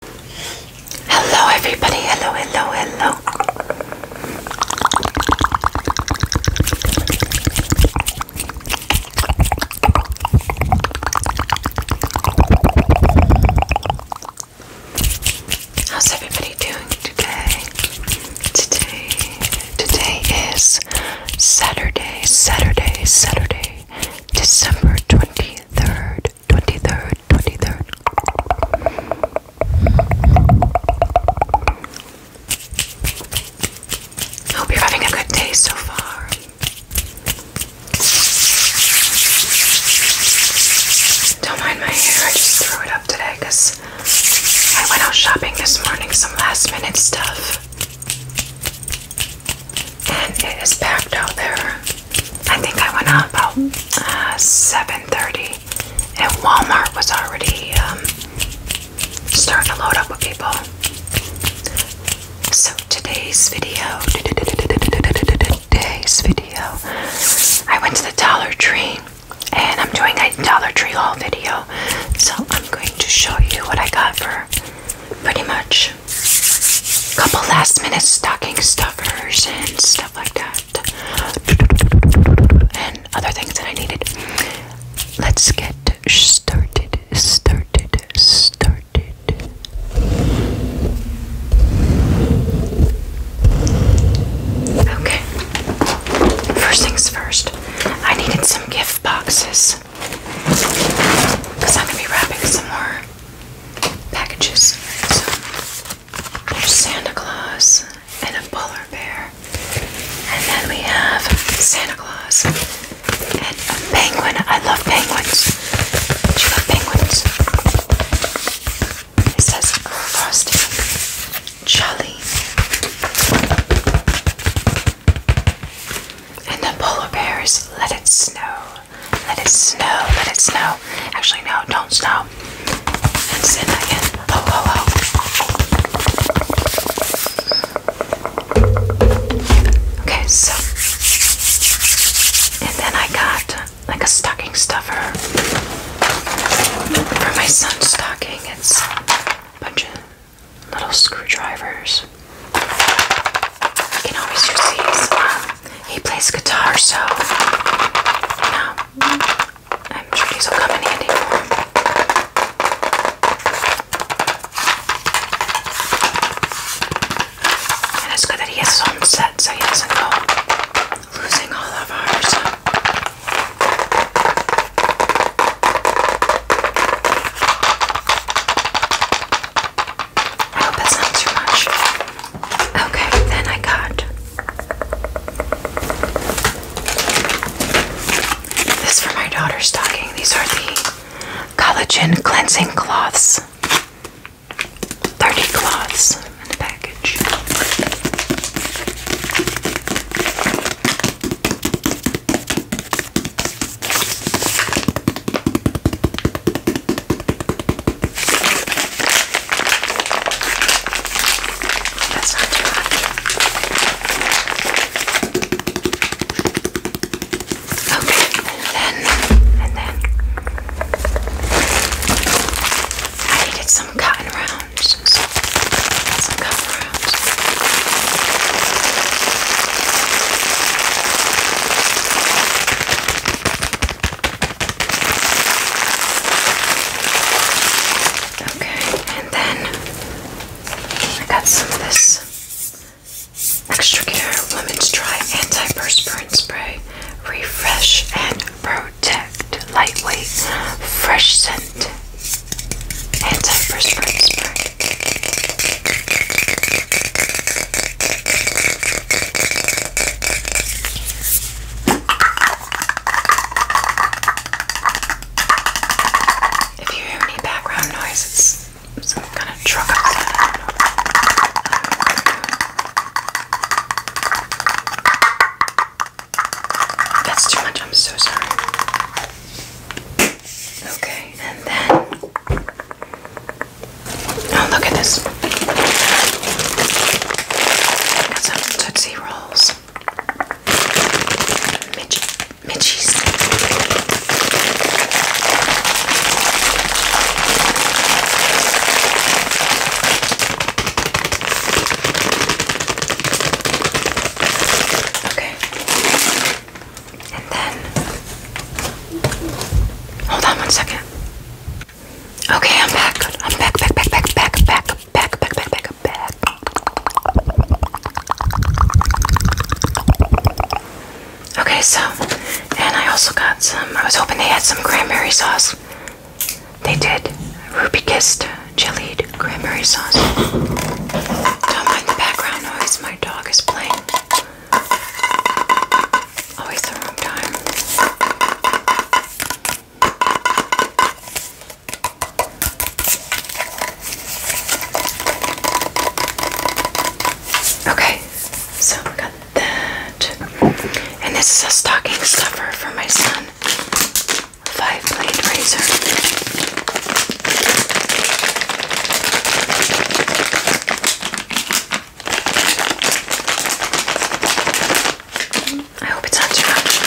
Hello, everybody. Hello, hello, hello. How's everybody doing today? Today, today is Saturday, Saturday, Saturday, December 23rd. 23rd, 23rd, I hope you're having a good day so far. Don't mind my hair, I just threw it up today because I went out shopping this morning, some last minute stuff and it is packed out there. I think I went out about 7:30, uh, and Walmart was already um, starting to load up with people. So today's video, today's video, I went to the Dollar Tree, and I'm doing a Dollar Tree haul video. So I'm going to show you what I got for pretty much couple last minute stocking stuffers and stuff like that, and other things that I needed. Let's get started, started, started. Okay, first things first, I needed some gift boxes because I'm gonna be wrapping some more packages. So there's Santa Claus and a polar bear, and then we have Santa Claus and a penguin. I love penguins. Do you love penguins? It says frosty, jolly. And the polar bears, let it snow, let it snow, let it snow. Actually, no, don't snow. And send that Oh, oh, oh. Okay, so. And then I got like a stocking stuffer for my son's stocking. It's a bunch of little screwdrivers. You can always use these. Um, he plays guitar, so yeah, I'm sure these will come in handy And it's good that he has his own set, so he doesn't go losing all of ours. I hope that's not too much. Okay, then I got this for my daughter's stocking. These are the collagen cleansing cloths. 30 cloths in the package. That's not too much. Okay, and then, and then, I needed some cotton round. Okay, and then I got some of this Extra Care Women's Dry Antiperspirant Spray Refresh and Protect Lightweight Fresh Scent Anti-perspirant spray. If you hear any background noise, it's some kind of truck that's too much, I'm so sorry. Okay, and then. Oh, look at this. got some Tootsie Rolls. Mitch, Mitchie's. Okay. And then hold on one second. Okay, I'm back. I'm back, back, back, back, back, back, back, back, back, back, Okay, so and I also got some I was hoping they had some cranberry sauce. They did ruby kissed jellied cranberry sauce. Don't mind the background noise, my dog is playing. Always the wrong time. Okay, so we got that. And this is a stocking stuffer for my son five blade razor. I hope it's not too much.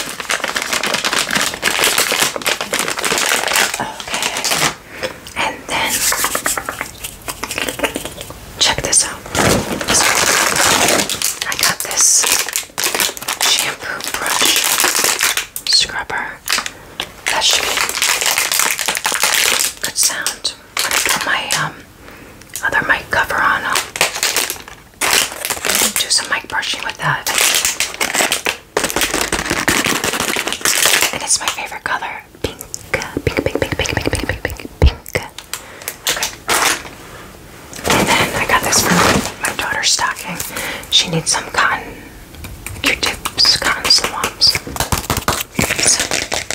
Okay, and then check this out. I got this shampoo brush scrubber. That should be good sound. I'm gonna put my um, other mic cover on, do some mic brushing with that. And it's my favorite color. pink, pink, pink, pink, pink, pink, pink, pink, pink, Okay. And then I got this for my daughter's stocking. She needs some cotton q cotton swabs. So I got that.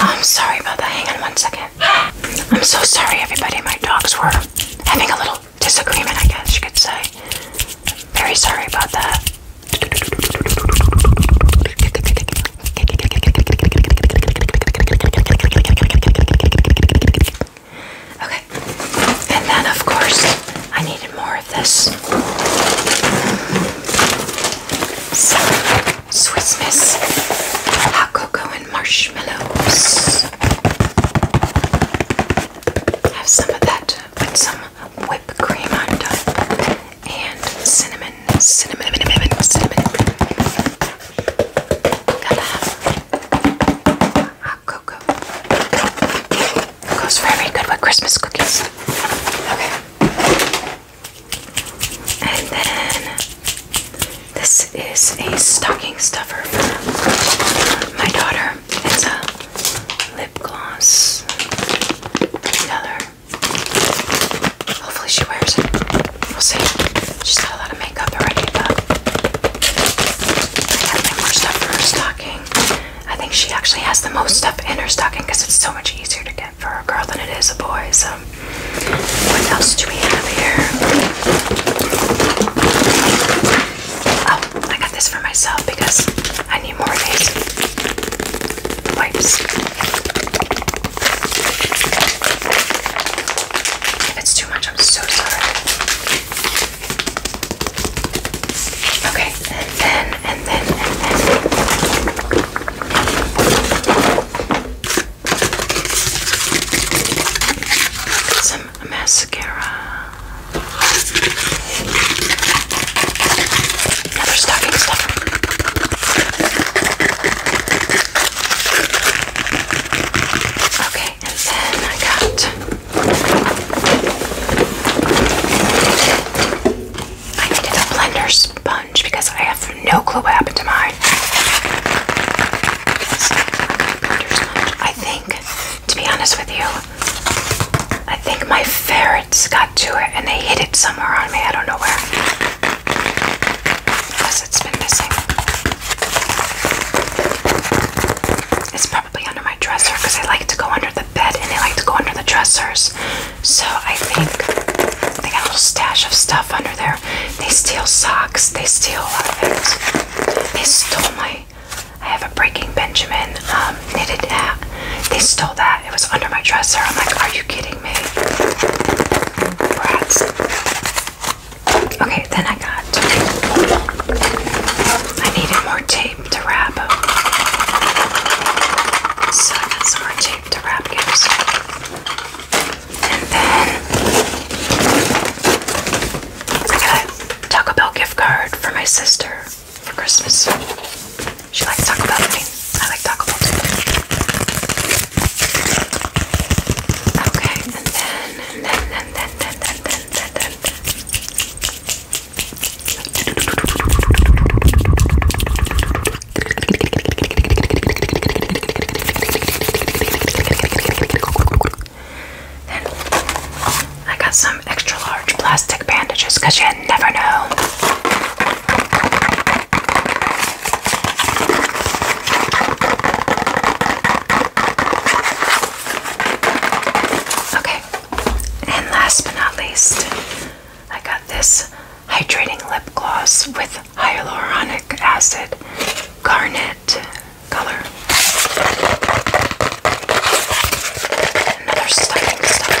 I'm sorry about that. Hang on one second. I'm so sorry, everybody. My dogs were having a little disagreement, I guess you could say. I'm Very sorry about that. Okay. And then, of course, I needed more of this. Swiss Miss hot cocoa and marshmallows. Have some of that with some whipped cream on top and cinnamon, cinnamon, cinnamon, cinnamon. Gotta hot cocoa. Goes very good with Christmas cookies. Okay. And then this is a stocking stuffer for my daughter. It's a lip gloss color. Hopefully she wears it. We'll see. She's got a lot of makeup already, but I have more stuff for her stocking. I think she actually has the most stuff in her stocking because it's so much easier to get for a girl than it is a boy. So, what else do we have here? Oh, I got this for myself because I need more of these wipes. it's too much, I'm so sorry. Okay, Okay, and then, and then, and then. Get some mascara. Another stocking stuffer. Okay, and then I got. I needed a blender sponge because I have no clue what happened to mine. I think, to be honest with you, I think my ferrets got to it and they hid it somewhere on me. I don't know where. Plus, it's been missing probably under my dresser because I like to go under the bed and I like to go under the dressers. So I think they got a little stash of stuff under there. They steal socks. They steal a uh, it. They stole my. I have a Breaking Benjamin um, knitted hat. They stole that. It was under my dresser. I'm like, are you kidding me? Brats. Okay, then I got. I needed more tea to wrap. So I more tape to wrap gifts. And then I got a Taco Bell gift card for my sister for Christmas. She likes Taco Bell. I, I like Taco Bell too. Okay, and then, and then, and then, and then, and then, and then, then I got some extra large plastic bandages because you never know. Okay, and last but not least, I got this hydrating lip gloss with hyaluronic acid garnet color. Another stunning stuff.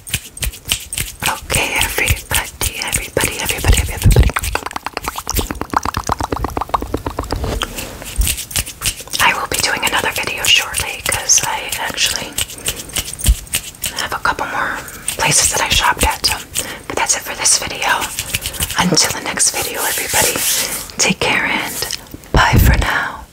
Okay, everybody, everybody, everybody, everybody. I will be doing another video shortly because I actually have a couple more places that I shopped at. but that's it for this video. Until the next video, everybody, take care and bye for now.